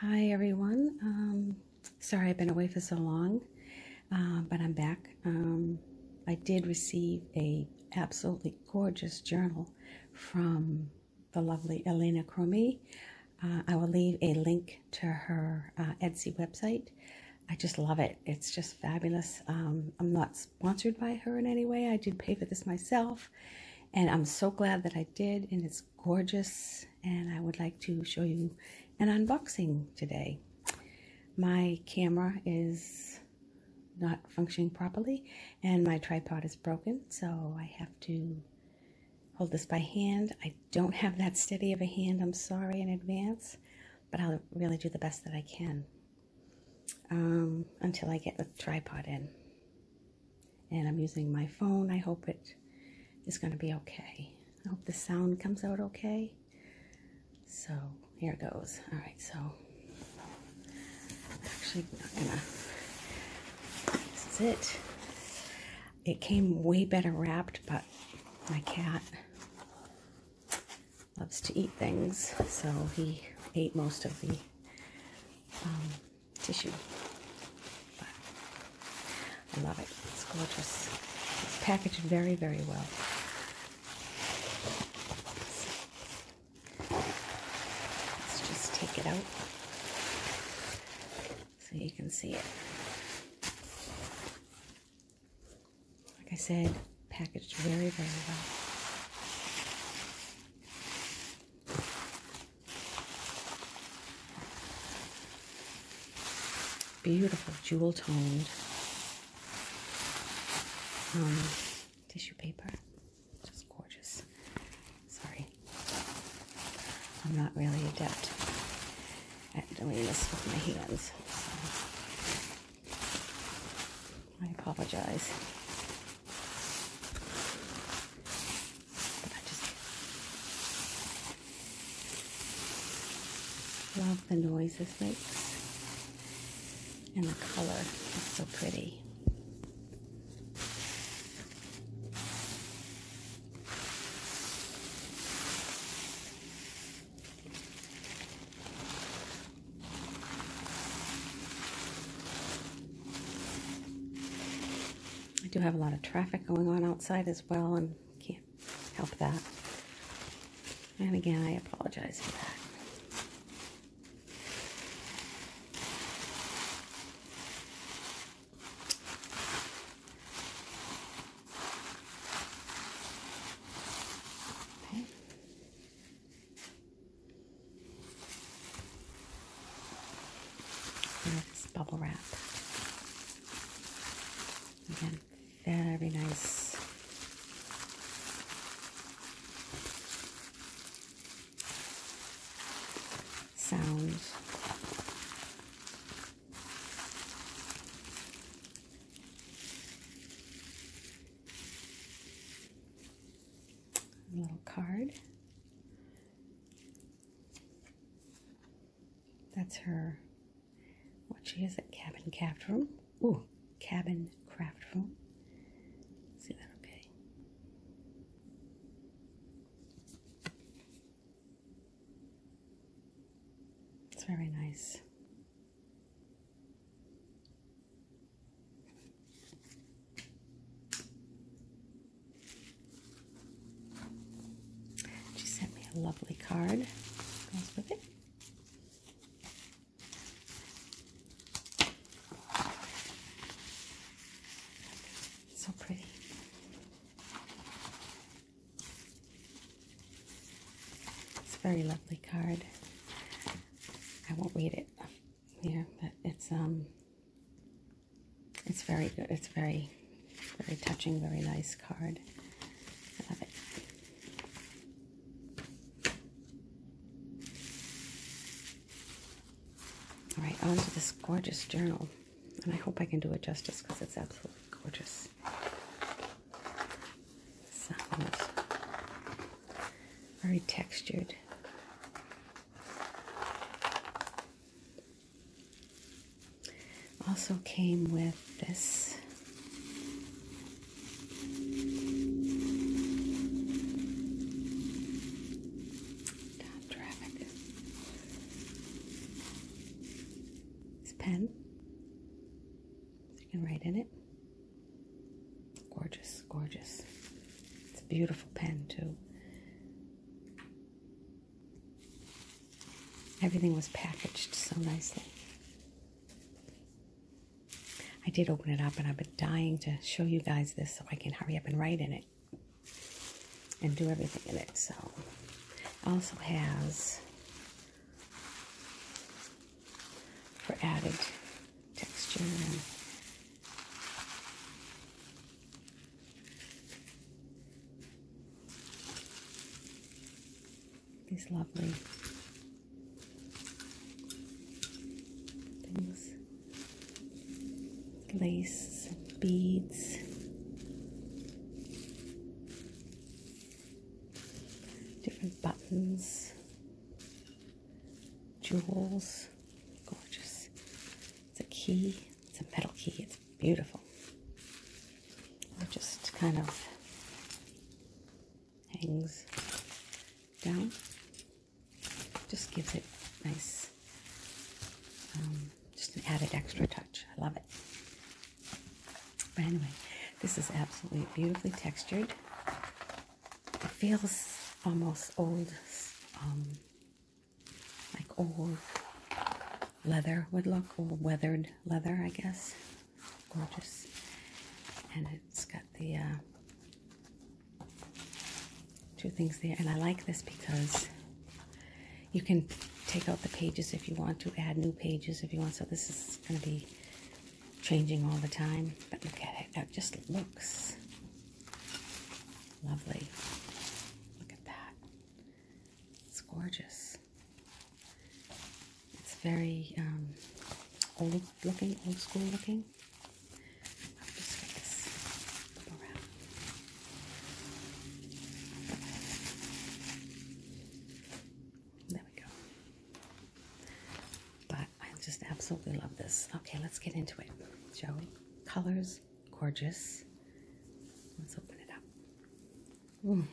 Hi everyone. Um, sorry I've been away for so long, uh, but I'm back. Um, I did receive a absolutely gorgeous journal from the lovely Elena Cromie. Uh, I will leave a link to her uh, Etsy website. I just love it. It's just fabulous. Um, I'm not sponsored by her in any way. I did pay for this myself, and I'm so glad that I did, and it's gorgeous, and I would like to show you an unboxing today. My camera is not functioning properly, and my tripod is broken, so I have to hold this by hand. I don't have that steady of a hand. I'm sorry in advance, but I'll really do the best that I can um, until I get the tripod in. And I'm using my phone. I hope it is going to be okay. I hope the sound comes out okay. So here it goes. All right, so I'm actually not gonna, this is it. It came way better wrapped, but my cat loves to eat things, so he ate most of the um, tissue. But I love it. It's gorgeous. It's packaged very, very well. Let's just take it out so you can see it. Like I said, packaged very, very well. beautiful jewel toned um, tissue paper. Just gorgeous. Sorry. I'm not really adept at doing this with my hands. I apologize. love the noise this makes. And the color is so pretty. I do have a lot of traffic going on outside as well and can't help that. And again, I apologize for that. Okay. this bubble wrap. Again, very nice. Sound little card. That's her, what she is at Cabin Craft Room. Ooh, Cabin Craft Room. See that okay? It's very nice. She sent me a lovely card. So pretty. It's a very lovely card. I won't read it here, but it's um it's very good. It's very very touching, very nice card. I love it. All right, onto this gorgeous journal. And I hope I can do it justice because it's absolutely gorgeous. very textured. Also came with this Stop It's a pen. you can write in it. Gorgeous, gorgeous. It's a beautiful pen, too. Everything was packaged so nicely. I did open it up and I've been dying to show you guys this so I can hurry up and write in it and do everything in it. So, also has for added texture and these lovely things lace beads. Different buttons, jewels, gorgeous. It's a key, it's a metal key, it's beautiful. just kind of hangs down, just gives it nice um, just an added extra touch. I love it. But anyway, this is absolutely beautifully textured. It feels almost old, um, like old leather would look, old weathered leather, I guess. Gorgeous. And it's got the uh, two things there. And I like this because you can take out the pages if you want to, add new pages if you want. So this is going to be changing all the time. But look at it. That just looks lovely. Look at that. It's gorgeous. It's very um, old looking, old school looking i just There we go. But I just absolutely love this. Okay, let's get into it, shall we? Colors, gorgeous. Let's open it up. Mm.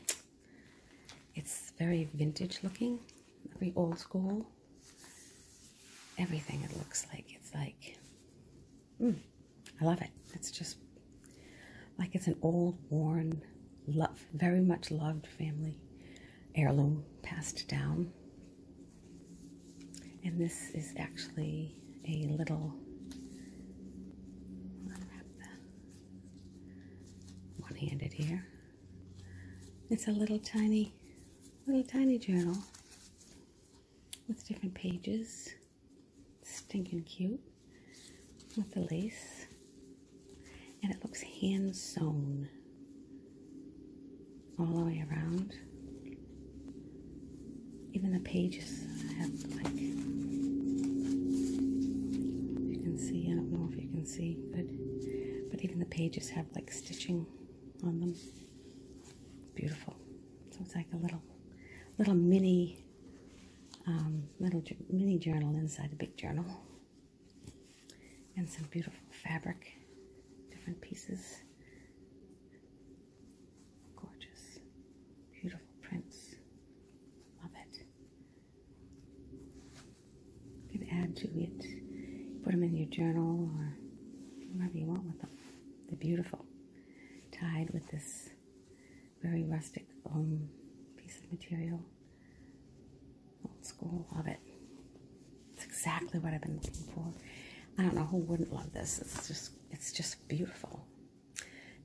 It's very vintage looking, very old school. Everything it looks like. It's like Mm, I love it. It's just like it's an old, worn, love, very much loved family heirloom passed down. And this is actually a little one-handed here. It's a little tiny, little tiny journal with different pages. Stinking cute with the lace. And it looks hand sewn all the way around. Even the pages have like, you can see, I don't know if you can see, but, but even the pages have like stitching on them. Beautiful. So it's like a little, little mini, um, little mini journal inside a big journal, and some beautiful fabric, different pieces, gorgeous, beautiful prints. Love it. You can add to it, put them in your journal or whatever you want with them. They're beautiful tied with this very rustic um, piece of material. Old school, love it. It's exactly what I've been looking for. I don't know who wouldn't love this. It's just it's just beautiful.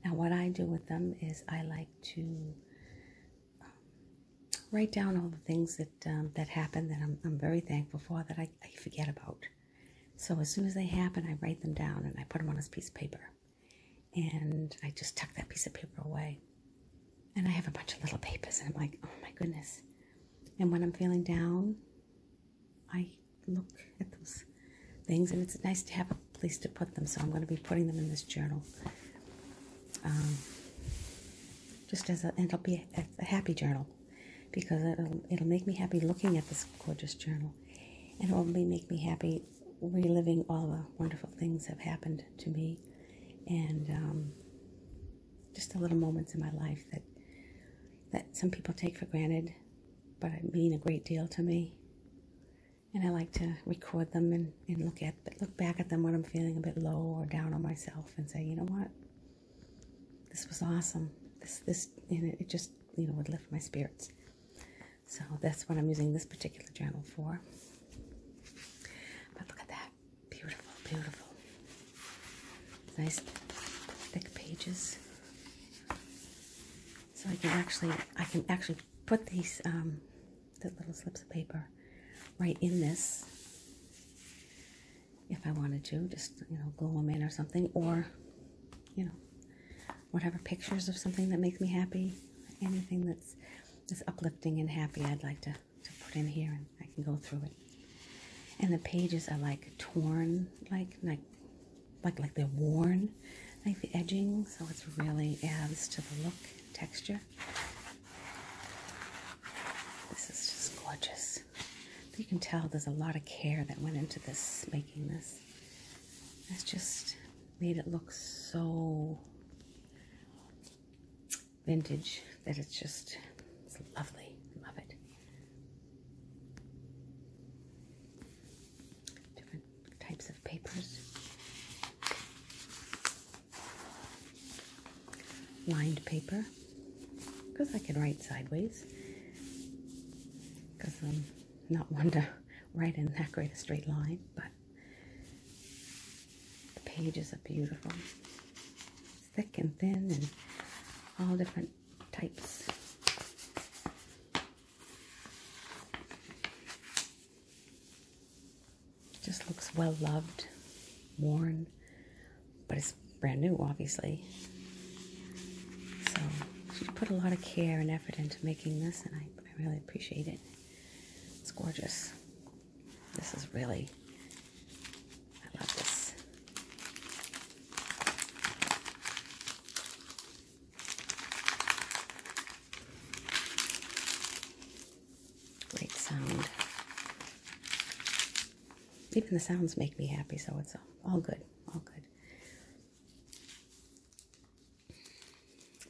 Now what I do with them is I like to um, write down all the things that um, that happen that I'm, very thankful for that I forget about. So as soon as they happen, I write them down and I put them on this piece of paper. And I just tuck that piece of paper away. And I have a bunch of little papers, and I'm like, oh my goodness. And when I'm feeling down, I look at those things, and it's nice to have a place to put them. So I'm going to be putting them in this journal. Um, just as and it'll be a happy journal because it'll, it'll make me happy looking at this gorgeous journal and it'll make me happy reliving all the wonderful things that have happened to me and um, just the little moments in my life that that some people take for granted but it mean a great deal to me and I like to record them and, and look at look back at them when I'm feeling a bit low or down on myself and say you know what this was awesome. This this it just you know would lift my spirits. So that's what I'm using this particular journal for. But look at that. Beautiful, beautiful. Nice thick pages. So I can actually I can actually put these um the little slips of paper right in this if I wanted to, just you know, glue them in or something, or you know, whatever pictures of something that makes me happy, anything that's just uplifting and happy, I'd like to to put in here, and I can go through it. And the pages are like torn, like like like like they're worn, like the edging, so it's really adds to the look texture. This is just gorgeous. You can tell there's a lot of care that went into this, making this. It's just made it look so vintage that it's just it's lovely. Love it. Different types of papers lined paper because I can write sideways because I'm not one to write in that great a straight line, but the pages are beautiful. thick and thin and all different types. just looks well loved, worn, but it's brand new, obviously. So she put a lot of care and effort into making this, and I, I really appreciate it. It's gorgeous. This is really, I love this. Great sound even the sounds make me happy, so it's all good, all good.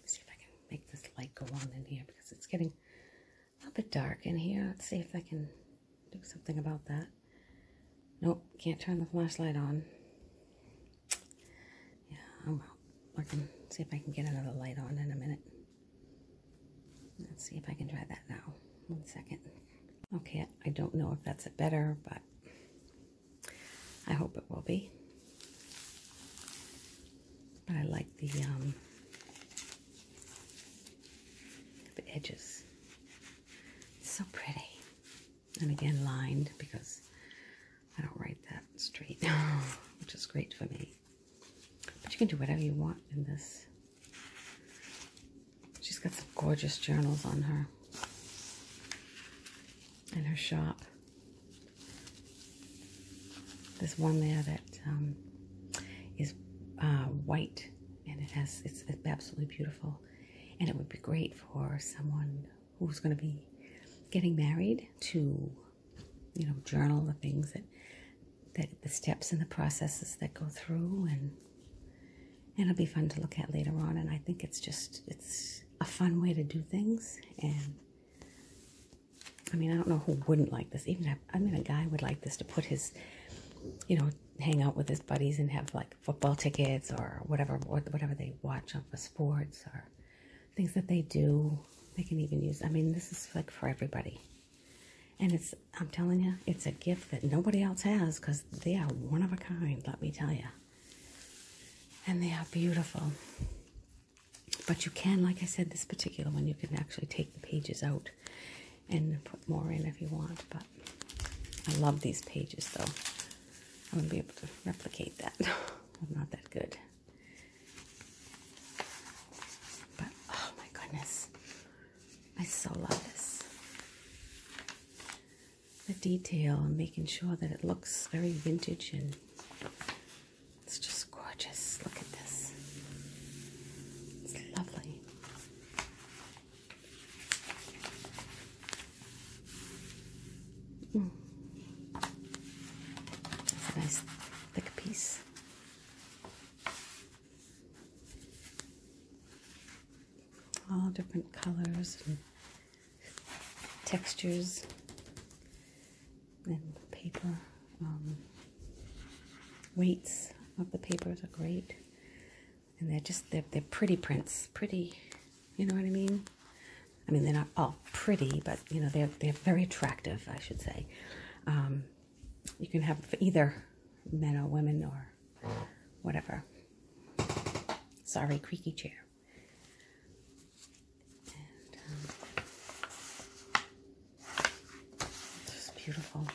see if I can make this light go on in here because it's getting a bit dark in here. Let's see if I can do something about that. Nope, can't turn the flashlight on. Yeah, I'm working. See if I can get another light on in a minute. Let's see if I can try that now. One second. Okay, I don't know if that's it better, but I hope it will be. But I like the, um, the edges. It's so pretty. And again, lined because I don't write that straight, which is great for me. But you can do whatever you want in this. She's got some gorgeous journals on her in her shop. There's one there that um, is uh, white and it has it's absolutely beautiful and it would be great for someone who's going to be getting married to you know journal the things that the, the steps and the processes that go through and it'll be fun to look at later on and i think it's just it's a fun way to do things and i mean i don't know who wouldn't like this even i mean a guy would like this to put his you know hang out with his buddies and have like football tickets or whatever whatever they watch on for sports or things that they do they can even use i mean this is like for everybody and it's, I'm telling you, it's a gift that nobody else has because they are one of a kind, let me tell you. And they are beautiful. But you can, like I said, this particular one, you can actually take the pages out and put more in if you want. But I love these pages, though. I wouldn't be able to replicate that. I'm not that good. But, oh my goodness. I so love this. The detail making sure that it looks very vintage and it's just gorgeous. Look at this. It's lovely. Mm. It's a nice thick piece all different colors and textures and paper um, weights of the papers are great and they're just they're, they're pretty prints pretty you know what I mean I mean they're not all pretty but you know they're they're very attractive I should say um, you can have either men or women or whatever. Sorry, creaky chair. And, um, just beautiful.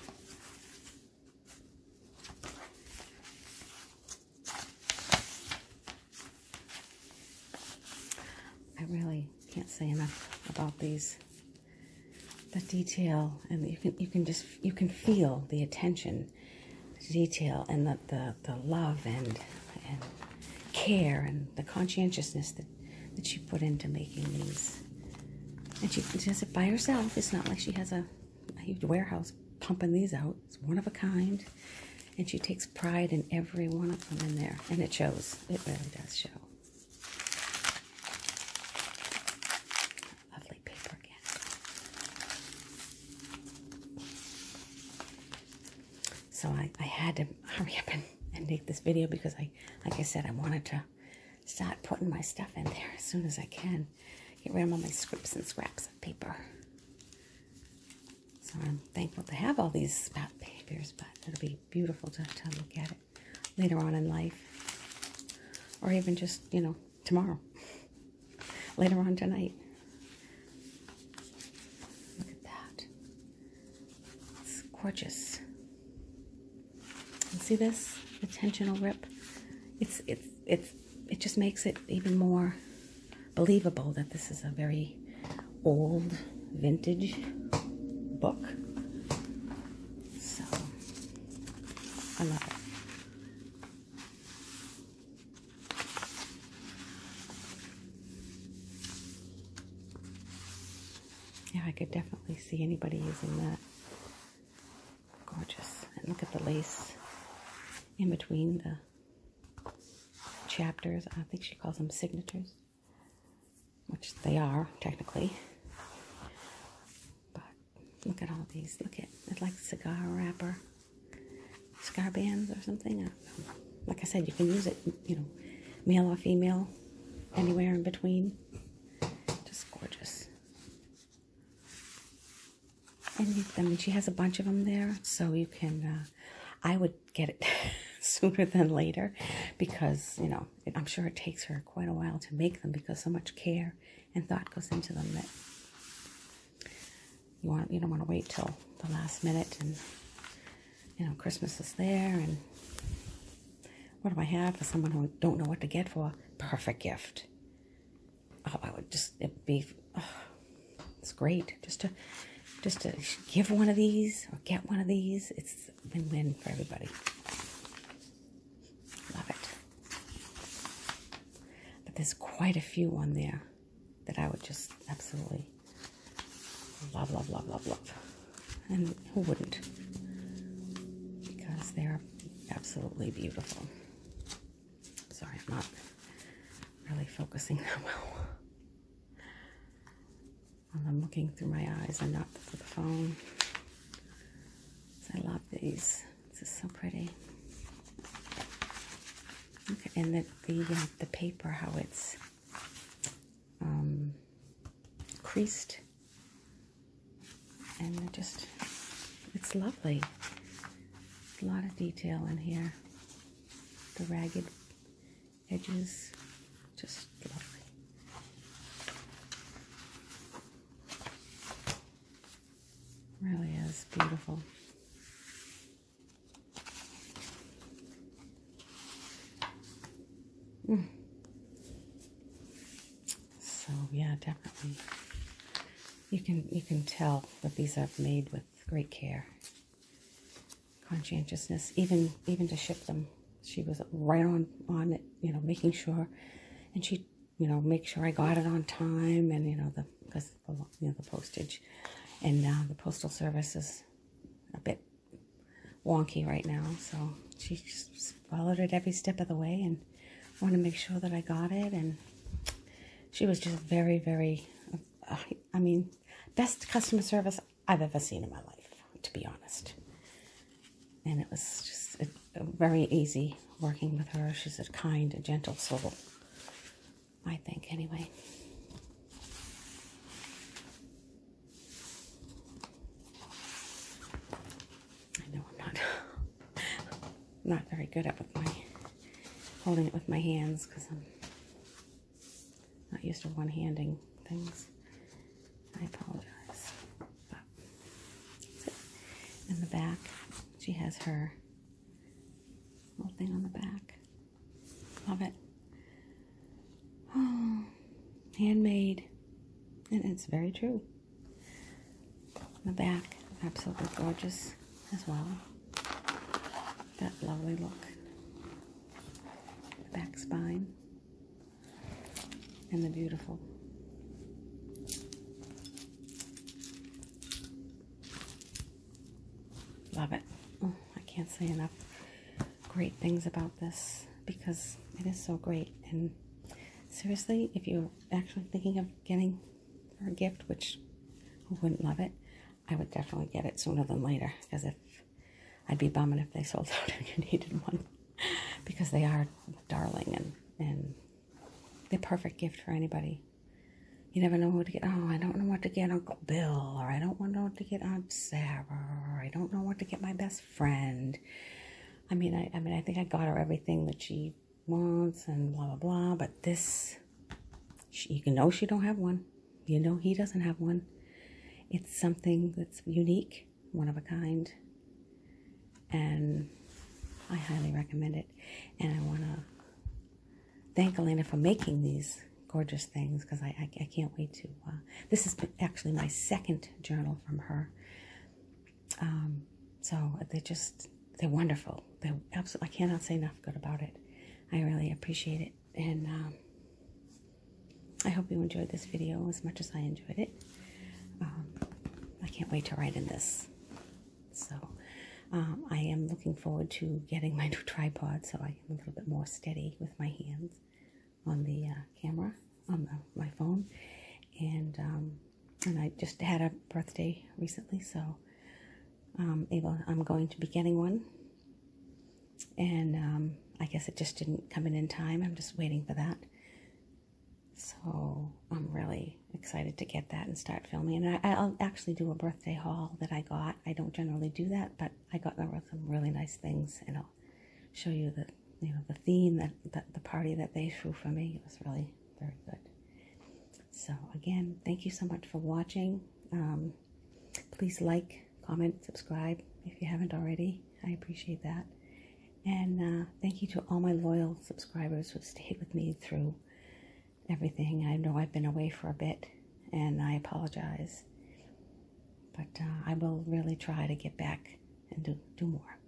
I really can't say enough about these the detail and you can you can just you can feel the attention detail and the, the, the love and and care and the conscientiousness that that she put into making these and she does it by herself it's not like she has a, a huge warehouse pumping these out it's one of a kind and she takes pride in every one of them in there and it shows it really does show Lovely paper again. So I, I had to hurry up and, and make this video because I, like I said, I wanted to start putting my stuff in there as soon as I can. Get rid of all my scripts and scraps of paper. So I'm thankful to have all these spout papers, but it'll be beautiful to, to look at it later on in life or even just, you know, tomorrow, later on tonight. Look at that. It's gorgeous. see this? The tensional rip. It's, it's, it's, it just makes it even more believable that this is a very old vintage book. So I love it. Yeah, I could definitely see anybody using that. Gorgeous. And look at the lace in between the chapters. I think she calls them signatures which they are technically. But look at all these. Look at it's like cigar wrapper, cigar bands or something. Like I said, you can use it, you know, male or female, anywhere in between. Just gorgeous. And I mean, she has a bunch of them there, so you can. Uh, I would get it sooner than later, because you know I'm sure it takes her quite a while to make them because so much care and thought goes into them that you want you don't want to wait till the last minute and you know Christmas is there and what do I have for someone who don't know what to get for? Perfect gift. Oh, I would just it'd be it's great just to just to give one of these or get one of these. It's win-win for everybody. Love it. But there's quite a few on there that I would just absolutely love, love, love, love, love. And who wouldn't? Because they're absolutely beautiful. Sorry, I'm not really focusing that well. I'm looking through my eyes and not through the phone. I love these. This is so pretty. and the the, uh, the paper, how it's um, creased, and just it's lovely. A lot of detail in here. The ragged edges just lovely really is beautiful mm. so yeah definitely you can you can tell that these are made with great care conscientiousness, even even to ship them. She was right on on it, you know, making sure, and she, you know, make sure I got it on time, and you know the because the you know the postage, and uh, the postal service is a bit wonky right now, so she followed it every step of the way, and wanted to make sure that I got it, and she was just very very. Uh, I mean, best customer service I've ever seen in my life, to be honest. And it was just very easy working with her. She's a kind gentle soul, I think, anyway. I know I'm not, not very good at with my holding it with my hands because I'm not used to one-handing things. I apologize. But in the back, she has her little thing on the back. Love it. Oh, handmade. And it's very true. In the back, absolutely gorgeous as well. That lovely look. The back spine and the beautiful. Love it. Oh, I can't say enough great things about this because it is so great. And seriously, if you're actually thinking of getting for a gift, which who wouldn't love it, I would definitely get it sooner than later because if I'd be bumming if they sold out if you needed one because they are darling and, and the perfect gift for anybody. You never know what to get. Oh, I don't know what to get Uncle Bill, or I don't know what to get Aunt Sarah, or I don't know what to get my best friend. I mean, I, mean, I think I got her everything that she wants and blah blah blah. But this, she, you can know she don't have one. You know, he doesn't have one. It's something that's unique, one of a kind, and I highly recommend it. And I want to thank Elena for making these gorgeous things because I, I, can't wait to. Uh, this is actually my second journal from her. Um, so they're just, they're wonderful. They're absolutely, I cannot say enough good about it. I really appreciate it and um, I hope you enjoyed this video as much as I enjoyed it. Um, I can't wait to write in this. So, um, I am looking forward to getting my new tripod so I am a little bit more steady with my hands on the uh, camera, on my phone. And, and I just had a birthday recently, so um, I'm going to be getting one and um, I guess it just didn't come in in time. I'm just waiting for that. So I'm really excited to get that and start filming. And I, will actually do a birthday haul that I got. I don't generally do that, but I got some really nice things, and I'll show you the you know the theme that, that the party that they threw for me. It was really very good. So again, thank you so much for watching. Um, please like, comment, subscribe if you haven't already. I appreciate that. And uh, thank you to all my loyal subscribers who stayed with me through everything. I know I've been away for a bit and I apologize. But uh, I will really try to get back and do, do more.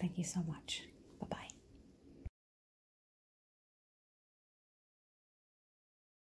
Thank you so much. Bye bye.